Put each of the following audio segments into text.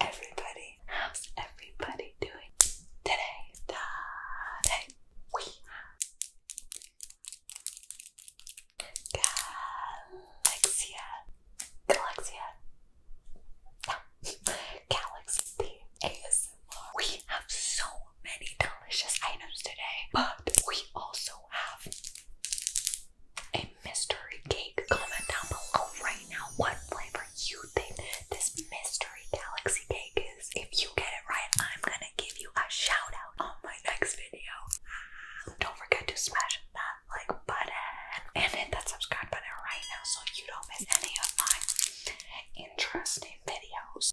Everybody, how's everybody doing today? Today we have Galaxia, Galaxia, Galaxy ASMR. We have so many delicious items today, but we also have a mystery cake. Comment down below right now what flavor you think this mystery galaxy cake is. If you get it right, I'm gonna give you a shout out on my next video. Um, don't forget to smash that like button and hit that subscribe button right now so you don't miss any of my interesting videos.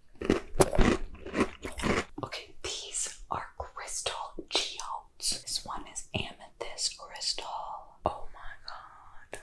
Okay, these are crystal geodes. This one is amethyst crystal. Oh my god.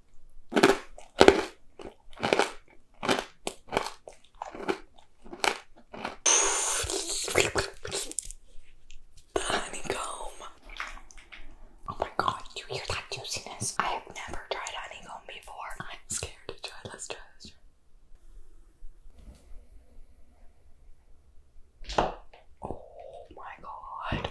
The honeycomb. Oh my god, you hear that juiciness? I have never tried honeycomb before. I'm scared to try. Let's try this. Oh my god.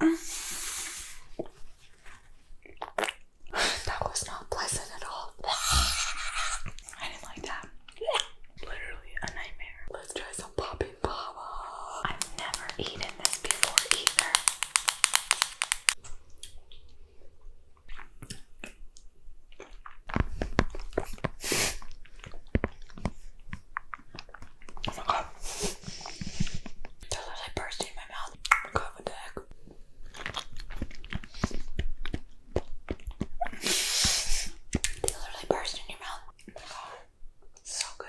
That was not pleasant at all. I didn't like that. Literally a nightmare. Let's try some popping baba. I've never eaten this before either. Oh my god. literally burst in my mouth. God, what the heck? They literally burst in your mouth. So good.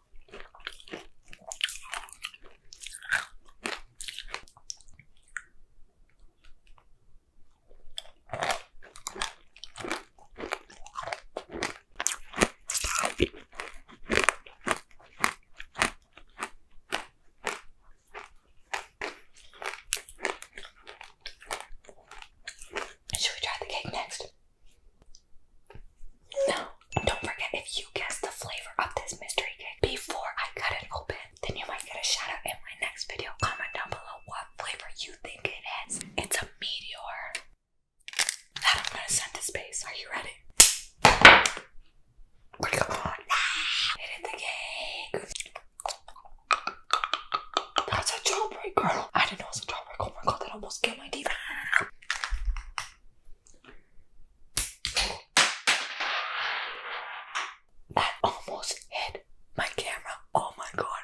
Should we try the cake next? No. don't forget if you guess the flavor of this mystery cake before I cut it open, then you might get a shout out in my next video. Comment down below what flavor you think it is. It's a meteor that I'm gonna send to space. Are you ready? Come on. Hit the cake. That's a jawbreaker. I didn't know it was a jawbreaker. Oh that almost killed my that almost hit my camera. Oh my god.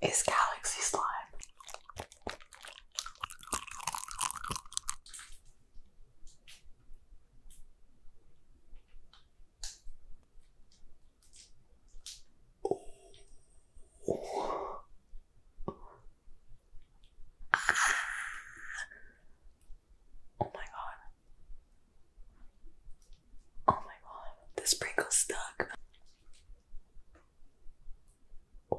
Is Galaxy Slime. Oh. Ah. oh my god. Oh my god. The sprinkle stuck. Oh.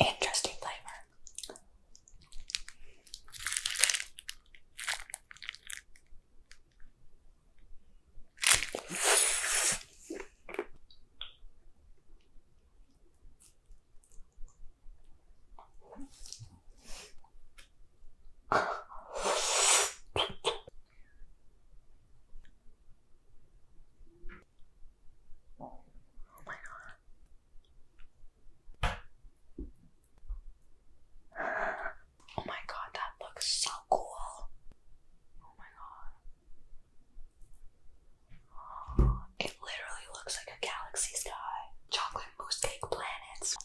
Interesting flavor. Oh my god, that looks so cool. Oh my god. Oh, literally looks like a galaxy sky. Chocolate mousse cake planets.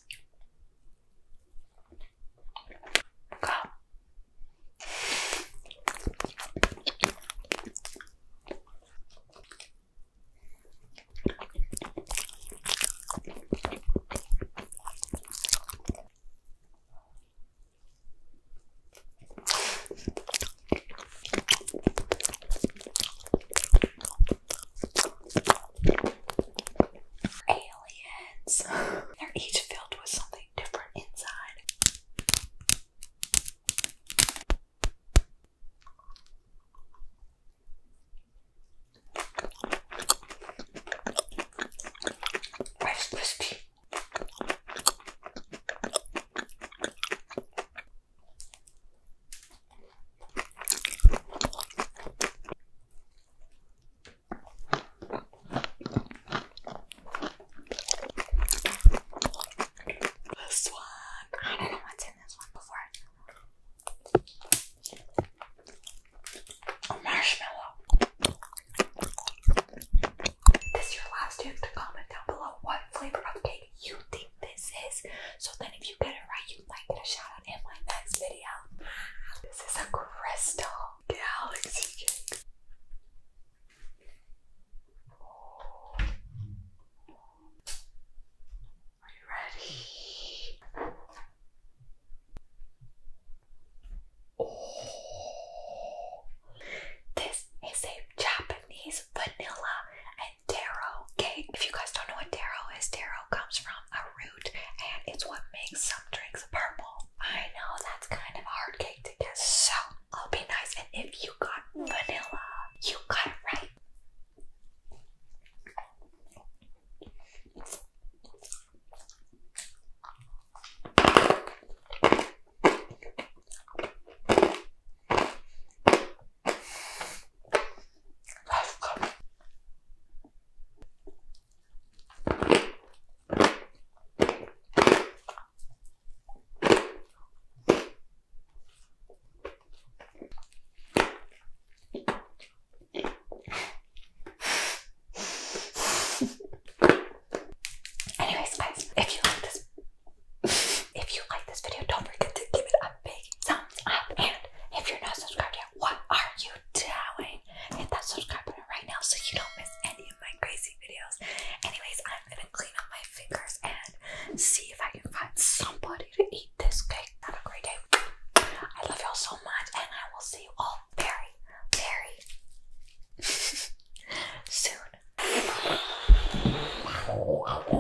Aliens. They're each filled with something different inside. Rice crispy. This one, I don't know what's in this one before. marshmallow. This your last chance to comment down below what flavor of cake you think this is. So then if you get it right, you might get a shout out in my next video. This is a crystal galaxy Are you ready? Oh. This is a Japanese vanilla tarot. Okay, if you guys don't know what tarot is, tarot comes from a root and it's what makes some drinks purple. I know that's kind of hard cake to guess, so I'll be nice. And if you got vanilla, you got it right. Anyways, guys, if you like this if you like this video, don't forget to give it a big thumbs up. And if you're not subscribed yet, what are you doing? Hit that subscribe button right now so you don't miss any of my crazy videos. Anyways, I'm gonna clean up my fingers and see if I can find somebody to eat this cake. Have a great day. I love y'all so much, and I will see you all very, very soon.